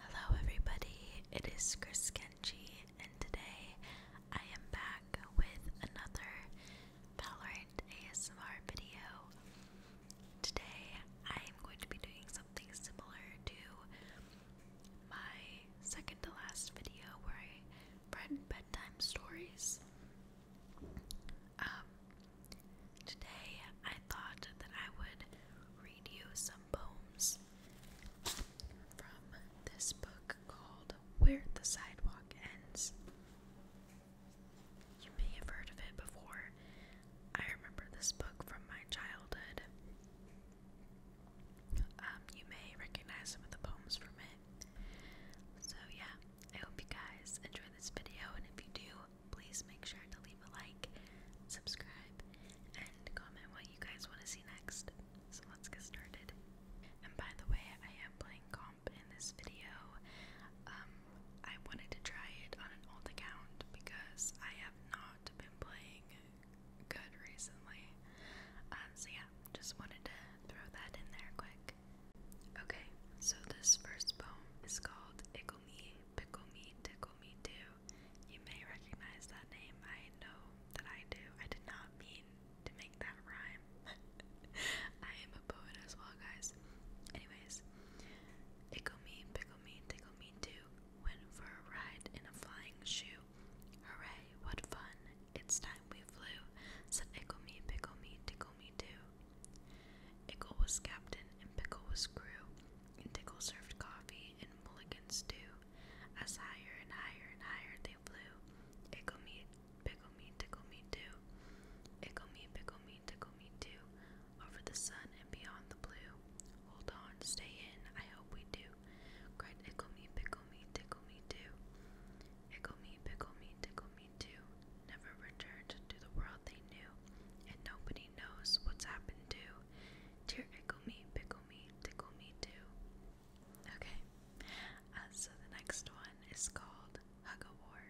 Hello, everybody, it is Chris Kenji, and today I am back with another Valorant ASMR video. Today I am going to be doing something similar to my second to last video where I read bedtime stories. Um, today I thought that I would read you some poems from this book called Where the Sidewalk Ends. You may have heard of it before. I remember this book from my childhood. Um, you may recognize some of the poems from it. So, yeah, I hope you guys enjoy this video, and if you do, please make sure to leave a like, subscribe, and comment what you guys want to see next. So let's get started. And by the way, I am playing comp in this video. Um, I wanted to try it on an old account because I have not been playing good recently. Um, so yeah, just wanted to throw that in there quick. Okay, so this first poem is called Ickle Me, Pickle Me, Tickle Me Too you may recognize that name. I know that I do. I did not mean to make that rhyme. I am a poet as well, guys. Anyways, ickle me, pickle me, tickle me too. Went for a ride in a flying shoe. Hooray, what fun! It's time we flew. Said ickle me, pickle me, tickle me too. Ickle was captain and pickle was crew and Tickle served coffee and mulligan stew. As higher and higher and higher they flew, Ickle me, pickle me, tickle me too. Ickle me, pickle me, tickle me too. Over the sun and beyond the blue. Hold on, stay in, I hope we do. Cried Ickle me, pickle me, tickle me too. Ickle me, pickle me, tickle me too. Never returned to the world they knew, and nobody knows what's happened to. Dear Ickle Me, Pickle Me, Tickle Me Too. Okay, uh, so the next one is called Hug a War.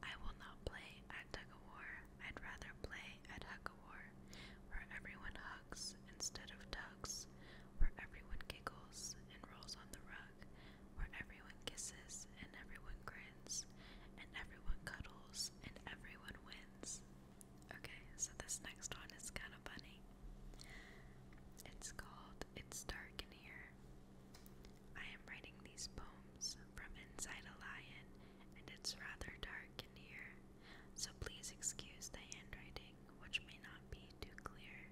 I will not play at tug of war. I'd rather play at hug a war, where everyone hugs instead of tugs, where everyone giggles and rolls on the rug, where everyone kisses and everyone grins, and everyone cuddles and everyone wins. Okay, so this next one is kind of funny. It's called It's Dark in Here. I am writing these poems from inside a lion, and it's rather dark in here, so please excuse the handwriting, which may not be too clear.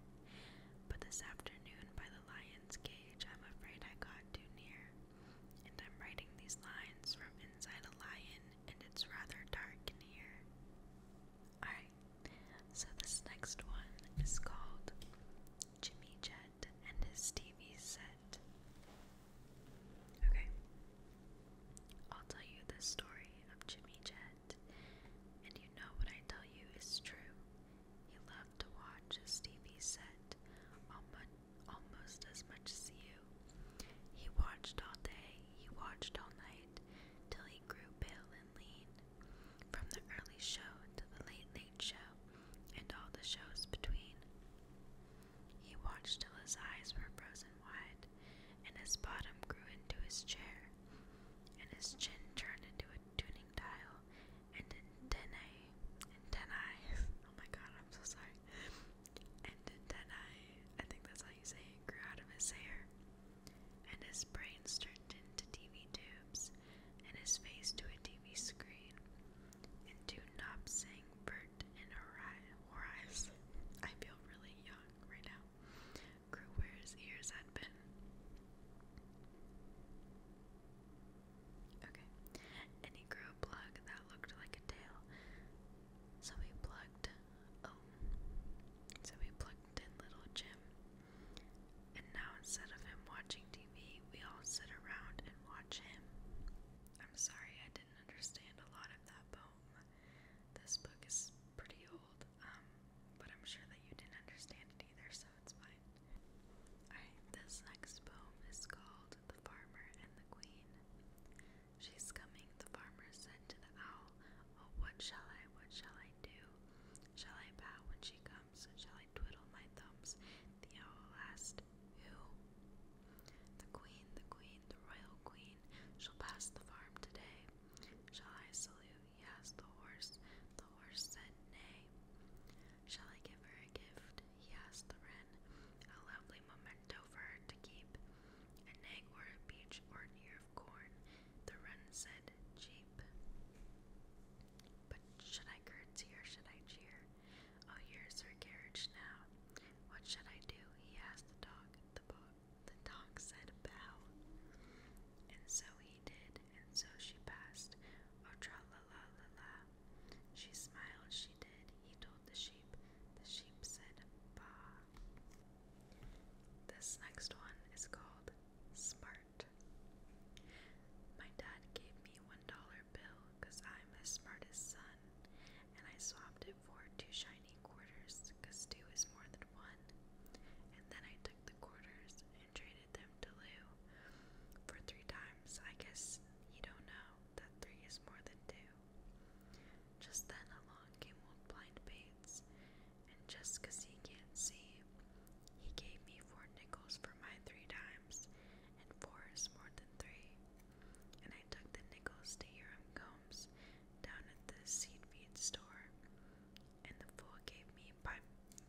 But this afternoon, by the lion's cage, I'm afraid I got too near, and I'm writing these lines from inside a lion and it's rather dark in here. Alright, so this next one is called Jimmy Jet and his TV set. Okay, I'll tell you the story of Jimmy Jet, and you know what I tell you is true. He loved to watch his TV set on Monday almost as much as you. He watched all day, he watched all night, till he grew pale and lean. From the early show to the late, late show, and all the shows between. He watched till his eyes were frozen wide, and his bottom grew into his chair, and his chin turned into a tuning dial, and antennae, antennae, oh my god, I'm so sorry, and Tenai, I think that's how you say it, grew out of his hair, and his brains turned into TV tubes, and his face to a TV screen, and two knobs sang Bert and Horace. I feel really young right now. Grew where his ears had been. Okay. And he grew a plug that looked like a tail, so we plugged um, so we plugged in little Jim. And now instead of him watching TV, we all sit around and watch him. I'm sorry I didn't understand a lot of that poem. This book is pretty old, um, but I'm sure that you didn't understand it either, so it's fine. Alright, this next poem is called The Farmer and the Queen. She's coming, the farmer said to the owl. Oh, what shall I, what shall I do? Shall I bow when she comes? Shall I twiddle my thumbs? The owl asked, Who? The queen, the queen, the royal queen, shall pass the farm today. Shall I salute? He asked the horse. The horse said, Nay. Shall I give her a gift? He asked the wren. A lovely memento for her to keep an egg or a peach or an ear of corn, the wren said, cheap. But should I curtsy or should I cheer? Oh, here's her carriage now. What should I do? He asked the dog. The, bo the dog said, bow. And so he did, and so she passed. Oh, tra She smiled, she did. He told the sheep. The sheep said, bah. This next one is called Smart. My dad gave me one dollar bill because I'm his smartest son, and I swapped it for two shiny quarters because two is more than one. And then I took the quarters and traded them to Lou for three times. I guess you don't know that three is more than two. Just then along came old blind Bates, and just 'cause he can't see, he gave me four nickels for my three dimes, and four is more than three. And I took the nickels to Hiram Combs down at the seed feed store, and the fool gave me five,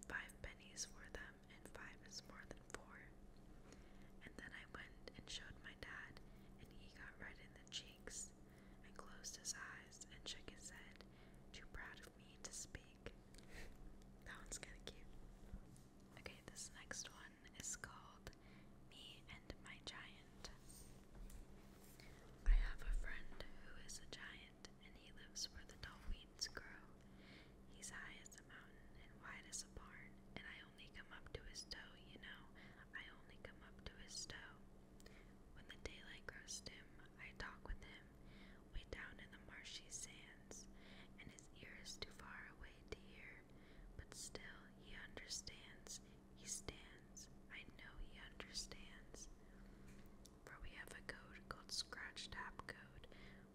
five pennies for them, and five is more than four. And then I went and showed my dad, and he got red in the cheeks, and closed his eyes and shook his head, too proud of me to speak. that one's kind of cute. Okay, this next one is called Me and My Giant. I have a friend who is a giant, and he lives where the dullweeds grow. He's high as a mountain and wide as a barn, and I only come up to his toe, you know. I only come up to his stow. When the daylight grows dim, I talk with him, way down in the marshy sands, and his ear is too far away to hear, but still he understands. He stands. I know he understands. For we have a code called Scratch Tap Code,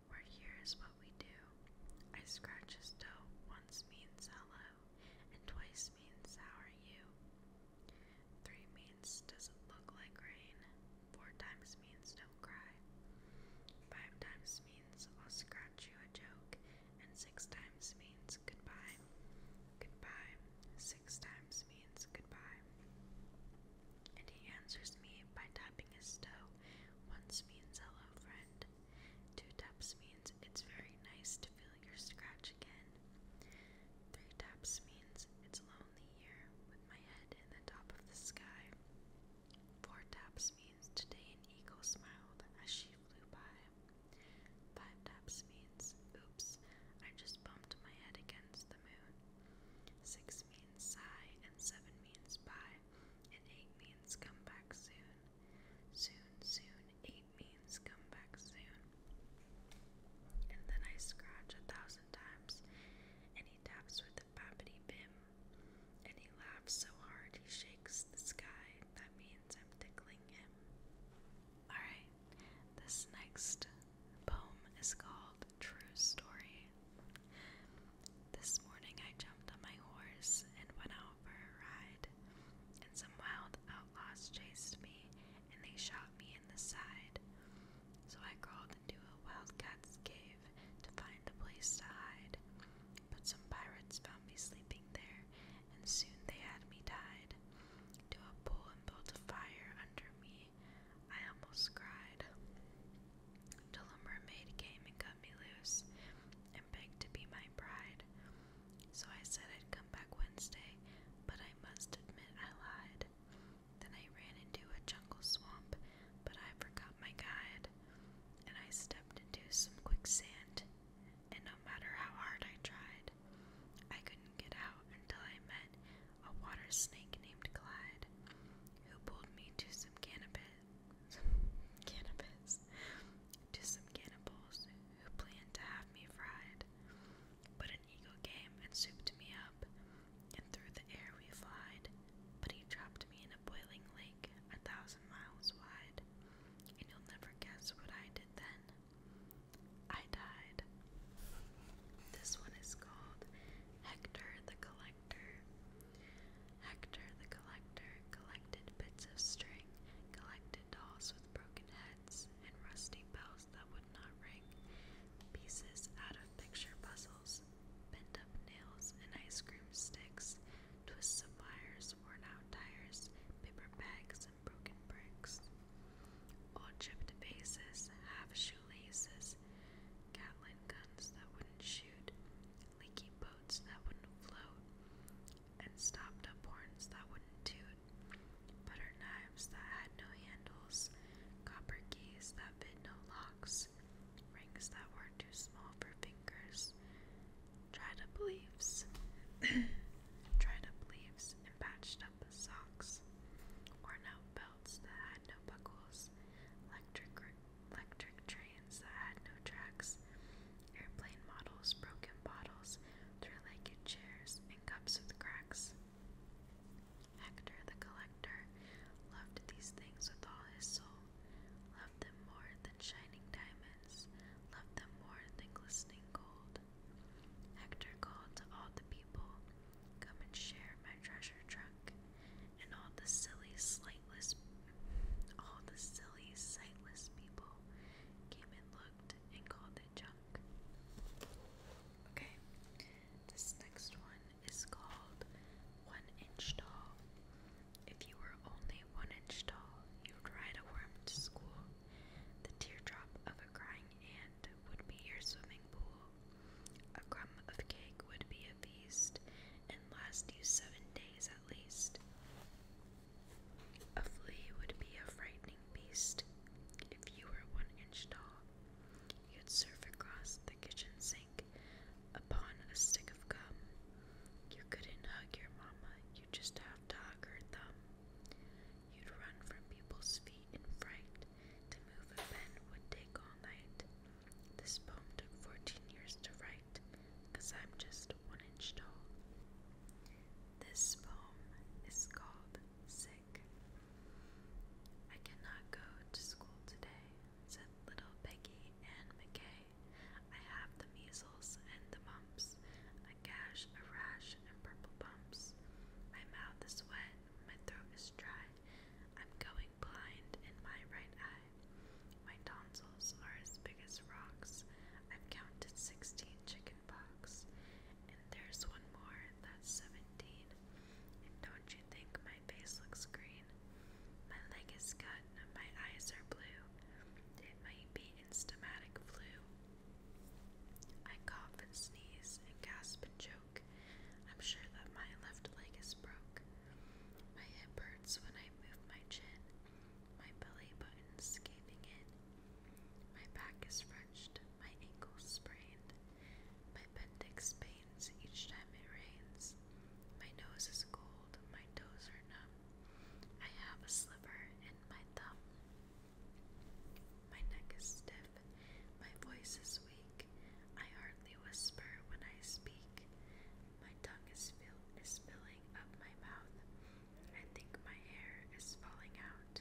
where here is what we do. I scratch his toe once means hello and twice means how are you? Three means doesn't look like rain. Four times means don't cry. Five times means I'll scratch you a joke. And six times means goodbye. Goodbye. Six times means goodbye. And he answers me by tapping his toe. Once means hello, friend. Two taps means it's very nice to feel your scratch again. Three taps means it's lonely here with my head in the top of the sky. Four taps means today an eagle smiled as she flew by. Five taps means oops, I just bumped my head against the moon. Six means sigh, and seven means bye, and eight means come back soon. Soon, soon, eight means come back soon. And then I scratch a thousand times, and he taps with a babbity bim, and he laughs so hard he shakes the sky. That means I'm tickling him. Alright, this next poem is called True Story. This morning I jumped on my horse and went out out for a ride, and some wild outlaws chased me, and they shot me in the side. So I crawled into a wildcat's cave to find a place to hide. But some pirates found me sleeping there, and soon they had me tied to a pole and built a fire under me. I almost cried. Till a mermaid came and cut me loose and begged to be my bride. So I said I'd back Wednesday, but I must admit I lied. Then I ran into a jungle swamp, but I forgot my guide. And I stepped into some quicksand, and no matter how hard I tried, I couldn't get out until I met a water snake named Clyde, who pulled me to some cannabis. cannabis to some cannibals who planned to have me fried. But an eagle came and souped me up, and through the air we flied. But he dropped me in a boiling lake a thousand miles wide, and you'll never guess what I did then. I died. This one is called Hector the Collector. Hector the Collector collected bits of string, collected and dolls with broken heads and rusty bells that would not ring, pieces out of picture puzzles, bent up nails and ice cream sticks, twists of wires, worn out tires, paper bags, and broken bricks. Old chipped vases, half shoelaces, Gatlin guns that wouldn't shoot, leaky boats that wouldn't float, and stopped up horns that wouldn't toot. Butter knives that had no handles, copper keys that fit no locks, rings that were too small for fingers, dried up leaves, dried up leaves, and patched up socks, worn out belts that had no buckles, electric, electric trains that had no tracks, airplane models, broken bottles, through legged chairs and cups with cracks. Hector the collector loved these things with all his soul, loved them more than shining diamonds, loved them more than glistening gold. Hector called to all the people, Come and share my treasure trunk, and all the silly, slightless, all the silly, sightless people came and looked and called it junk. Okay, this next one is called One Inch Tall. If you were only one inch tall, you would ride a worm to school. The teardrop of a crying ant would be your swimming pool. A crumb of cake would be a feast and last you seven days at least. A flea would be a frightening beast. If you were one inch tall, you'd surf across the kitchen sink upon a stick of gum. You couldn't hug your mama, you'd just have to hug her thumb. You'd run from people's feet in fright. To move a pen would take all night. This poem took 14 years to write, cause I'm just one inch tall. This poem is called sick. I cannot go to school today, said little Peggy Ann McKay. I have the measles and the mumps, a gash, a rash, and purple bumps. My mouth is wet, my throat is dry. I'm going blind in my right eye. My tonsils are as big as rocks. I've counted sixteen chickens chicken And there's one more, that's 17. And don't you think my face looks green? My leg is cut, and my eyes are blue. It might be instamatic flu. I cough and sneeze and gasp and choke. I'm sure that my left leg is broke. My hip hurts when I move my chin, my belly button's caving in. My back is my ankles sprained, my appendix pains each time it rains, my nose is cold, my toes are numb, I have a slipper in my thumb. My neck is stiff, my voice is weak, I hardly whisper when I speak, my tongue is, fill is filling up my mouth. I think my hair is falling out.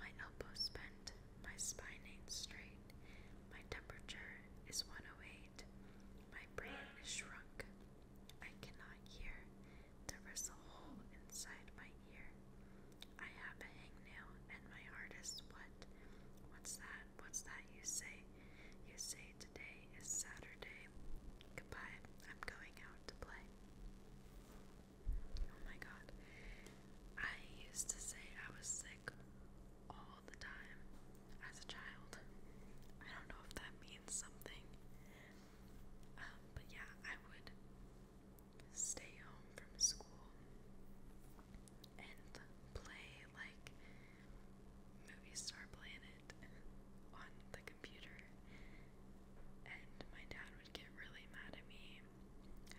My elbows bent, my spine ain't straight. My temperature is 108. My brain is shrunk. I cannot hear. There is a hole inside my ear. I have a hangnail and my heart is what? What's that? What's that you say? You say today is Saturday. Goodbye. I'm going out to play. Oh my god. I used to say I was sick all the time as a child. I don't know if that means something. Um, but yeah, I would stay home from school and play like Movie Star Planet on the computer. And my dad would get really mad at me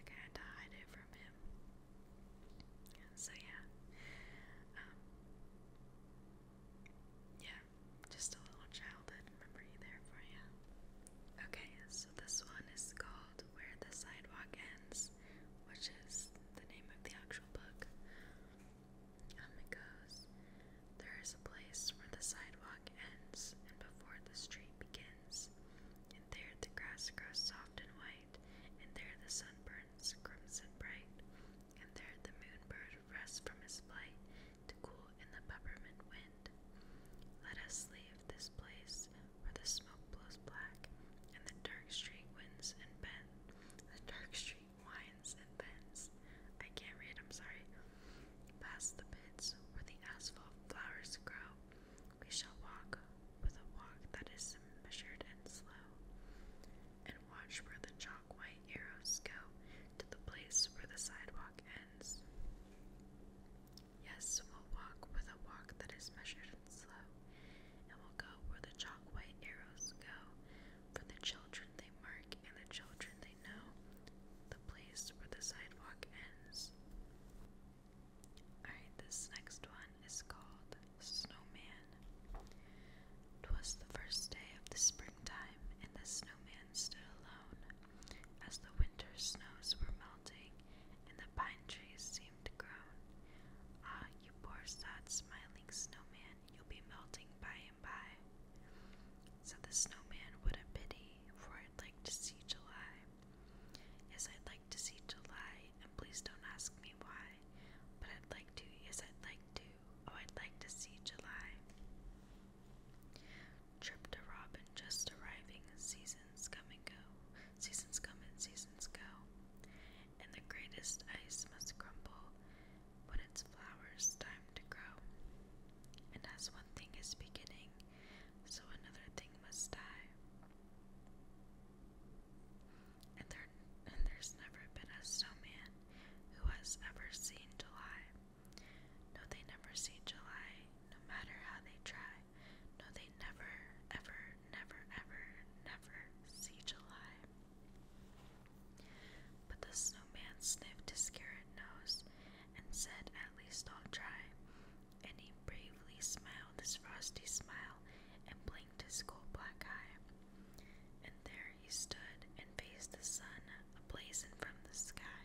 I had to hide it from him. so yeah. Um, yeah, just a little childhood memory there for you. Okay, so this one is called Where the Sidewalk Ends, which is the name of the actual book. Um, it goes There is a place where the sidewalk ends, and before the street begins, and there the grass grows soft and white, and there the sun burns crimson bright, and there the moonbird rests from his flight to cool in the peppermint wind. Let us leave this place where the smoke blows black, and the dark street winds and bends. The dark street winds and bends. I can't read, I'm sorry. Past the pits where the asphalt flowers grow, we shall walk with a walk that is measured and slow, and watch where the chalk white arrows go to the place where the sidewalk ends. Yes, we'll walk with a walk that is measured and slow, and we'll go where the chalk white arrows go, for the children they mark and the children they know, the place where the sidewalk ends this. Alright, this next one is called Snowman. 'Twas the first day of the springtime, and the snowman stood alone. As the winter snows were melting, and the pine trees seemed to groan. Ah, you poor sad smiling snowman, you'll be melting by and by. Said the snowman, what a pity, for I'd like to see July. Yes, I'd like to see July, and please don't ask me why, but I'd like to. Yes, I'd like to. Oh, I'd like to see July. Trip to Robin just arriving, seasons come and go, seasons come and seasons go. And the greatest ice must crumble when its flowers time to grow. And as one thing is beginning, so another thing must die. And there and there's never been a snowman who has ever seen July. No, they never see July, no matter how they try. No, they never, ever, never, ever, never see July. But the snowman sniffed his carrot nose and said, At least I'll try and he bravely smiled his frosty smile and blinked his coal black eye. And there he stood and faced the sun ablazing from the sky.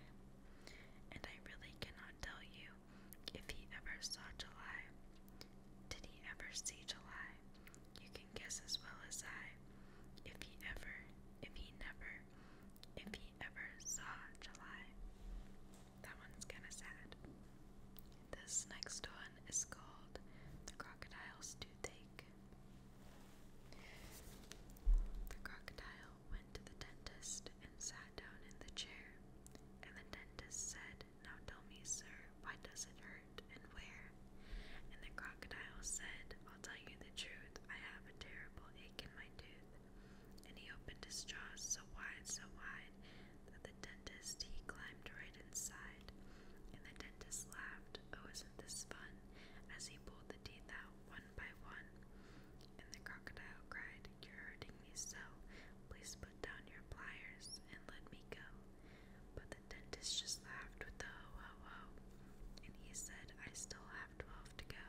And I really cannot tell you if he ever saw July. Did he ever see July? You can guess as well as I. If he ever, if he never, if he ever saw July. That one's kind of sad. This next one is called The Crocodile's Toothache. The crocodile went to the dentist and sat down in the chair, and the dentist said, Now tell me, sir, why does it hurt and where? And the crocodile said, I'll tell you the truth, I have a terrible ache in my tooth and he opened his jaws so wide, so wide, that the dentist he climbed right inside. And the dentist laughed, oh, isn't this fun, as he pulled the teeth out one by one. And the crocodile cried, You're hurting me so, please put down your pliers and let me go. But the dentist just laughed with the ho ho ho, and he said, I still have twelve to go.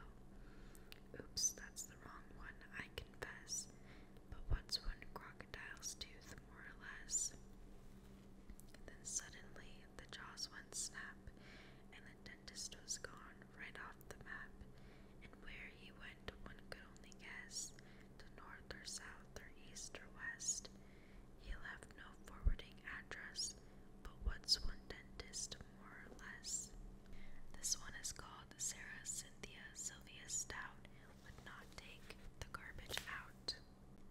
Oops, that's the wrong one, I confess. But what's one crocodile's tooth, more or less? Then suddenly the jaws went snap, and the dentist was gone right off the map. And where he went, one could only guess to north or south or east or west. He left no forwarding address, but what's one dentist, more or less? This one is called Sarah Cynthia Sylvia Stout would not take the garbage out.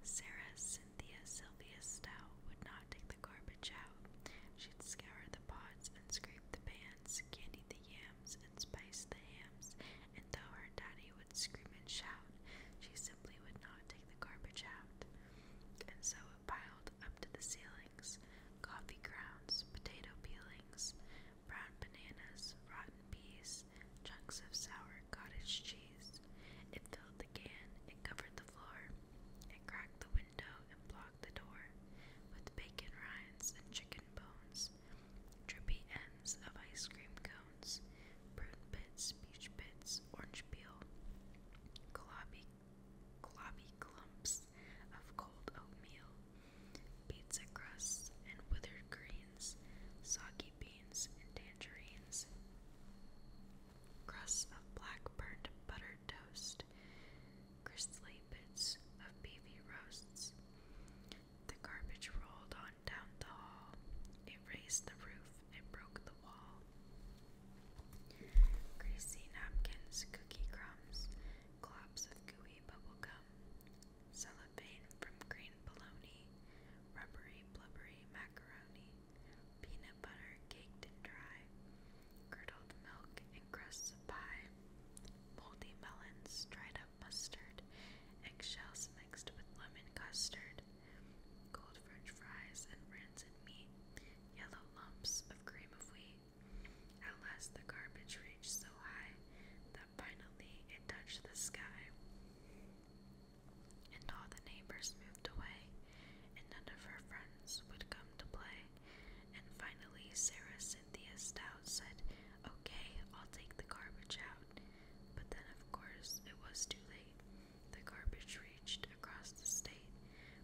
Sarah Cynthia Sylvia Stout would not take the garbage out. She'd scour the pots and scrape the pans, candy the yams and spice the hams, and though her daddy would scream and shout, she simply would not take the garbage out. And so it piled up to the ceiling coffee grounds, potato peelings, brown bananas, rotten peas, chunks of sour cottage cheese. It filled the can, it covered the floor, it cracked the window and blocked the door with bacon rinds and chicken bones, drippy ends of ice cream cones, prune bits, peach bits, orange peel, globby, globby clumps, of cold oatmeal, pizza crusts and withered greens, soggy beans and tangerines, crusts of black burned buttered toast, gristly bits of beefy roasts. The garbage rolled on down the hall. It raised the roof and broke the wall. Greasy napkins, cookie crumbs, globs of gooey bubblegum, cellophane from green bologna, rubbery blubbery macaroni, peanut butter caked and dry, curdled milk and crusts of pie, moldy melons, dried up mustard, eggshells mixed with lemon custard, cold french fries and rancid meat, yellow lumps of cream of wheat, at last the garbage reached so high that finally it touched the sky. And all the neighbors moved away, and none of her friends would come to play. And finally, Sarah Cynthia Stout said, Okay, I'll take the garbage out. But then, of course, it was too late. The garbage reached across the state,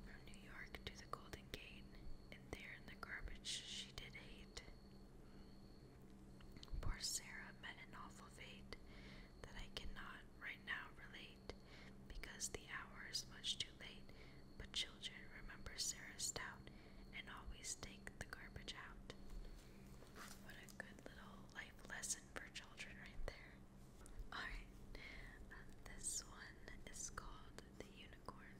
from New York to the Golden Gate, and there in the garbage she did hate. Poor Sarah met an awful fate that I cannot right now relate, because the hour is much too late. But children remember Sarah Stout and always take the garbage out. What a good little life lesson for children, right there. Alright, um, this one is called The Unicorn.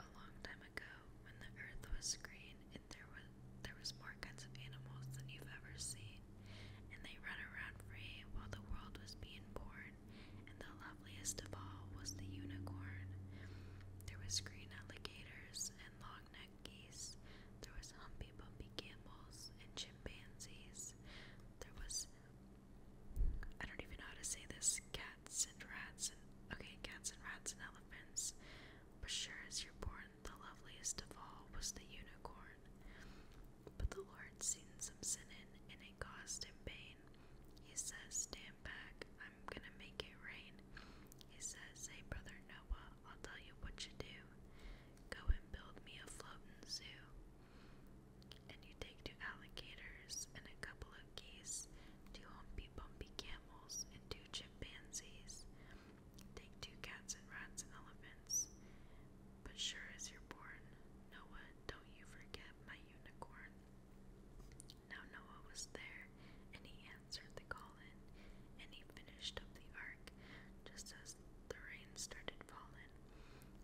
A long time ago, when the earth was green and there was there was more kinds of animals than you've ever seen, and they ran around free while the world was being born, and the loveliest of all was the unicorn. There was green alligators and long-necked geese. There was humpy bumpy camels and chimpanzees. There was I don't even know how to say this. Cats and rats cats and okay, cats and rats and elephants. But sure as you're born, the loveliest of all was the unicorn. But the Lord seen some sinning, and it caused him pain. He says, Stand back, I'm gonna make it rain. He says, Hey brother Noah, I'll tell you what you do. Go and build me a floating zoo. And you take two alligators and a couple of geese, two humpy bumpy camels and two chimpanzees. Take two cats and rats and elephants. But sure as you're born, Noah, don't you forget my unicorn. Now Noah was there, and he answered the call in, and he finished up the ark just as the rain started falling.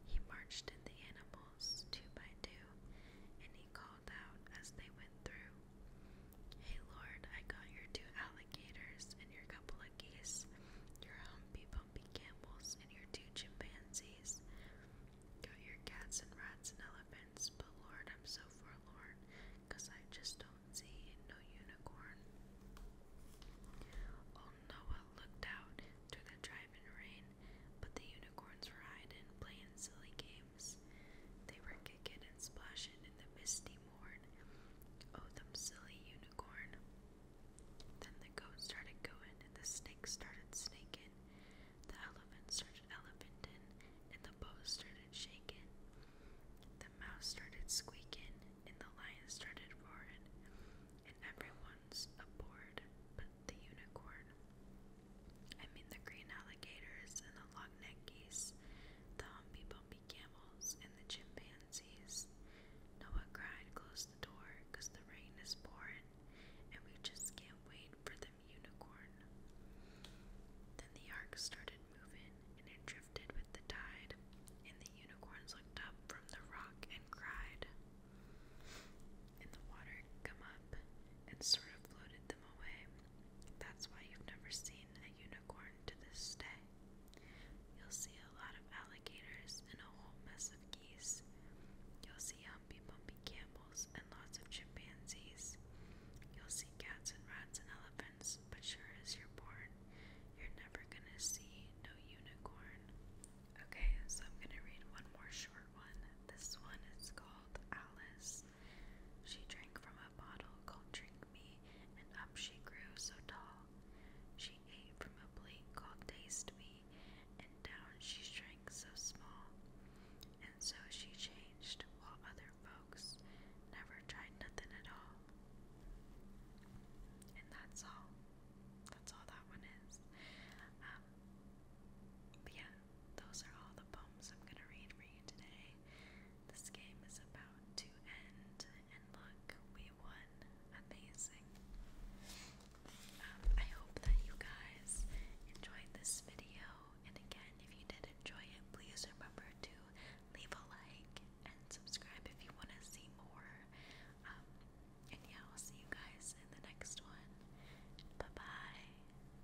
He marched in the animals two by two, and he called out as they went through, Hey Lord, I got your two alligators and your couple of geese, your humpy bumpy camels and your two chimpanzees, got your cats and rats and elephants, but Lord, I'm so forlorn, I just don't see no unicorn. Old Noah looked out to the driving rain, but the unicorns were hiding, playing silly games. They were kicking and splashing in the misty morn. Oh, them silly unicorn. Then the goat started going, and the snake started snaking. The elephant started elephantin, and the bow started shaking. The mouse started squeaking, and the lion started roaring, and everyone's aboard but the unicorn. I mean the green alligators and the long-necked geese, the humpy-bumpy camels and the chimpanzees. Noah cried, close the door, cause the rain is pouring, and we just can't wait for them unicorn. Then the ark started moving, and it drifted with the tide, and the unicorns looked up from the rock and cried. And the water come up and sort of floated them away, that's why you've never seen a unicorn to this day. You'll see a lot of alligators and a whole mess of geese. You'll see humpy bumpy camels and lots of chimpanzees. You'll see cats and rats and elephants, but sure as you're born, you're never gonna see no unicorn. Okay, so I'm gonna read one more short one. This one is called Alice. She drank from a bottle called Drink Me, and up she grew so tall. She ate from a plate called Taste Me, and down she shrank so small. And so she changed, while other folks never tried nothing at all. And that's all. That's all that one is. Um, yeah, those are all the poems I'm gonna read today. This game is about to end, and look, we won. Amazing. Um, I hope that you guys enjoyed this video, and again, if you did enjoy it, please remember to leave a like and subscribe if you want to see more. Um, and yeah, I'll see you guys in the next one. Bye bye.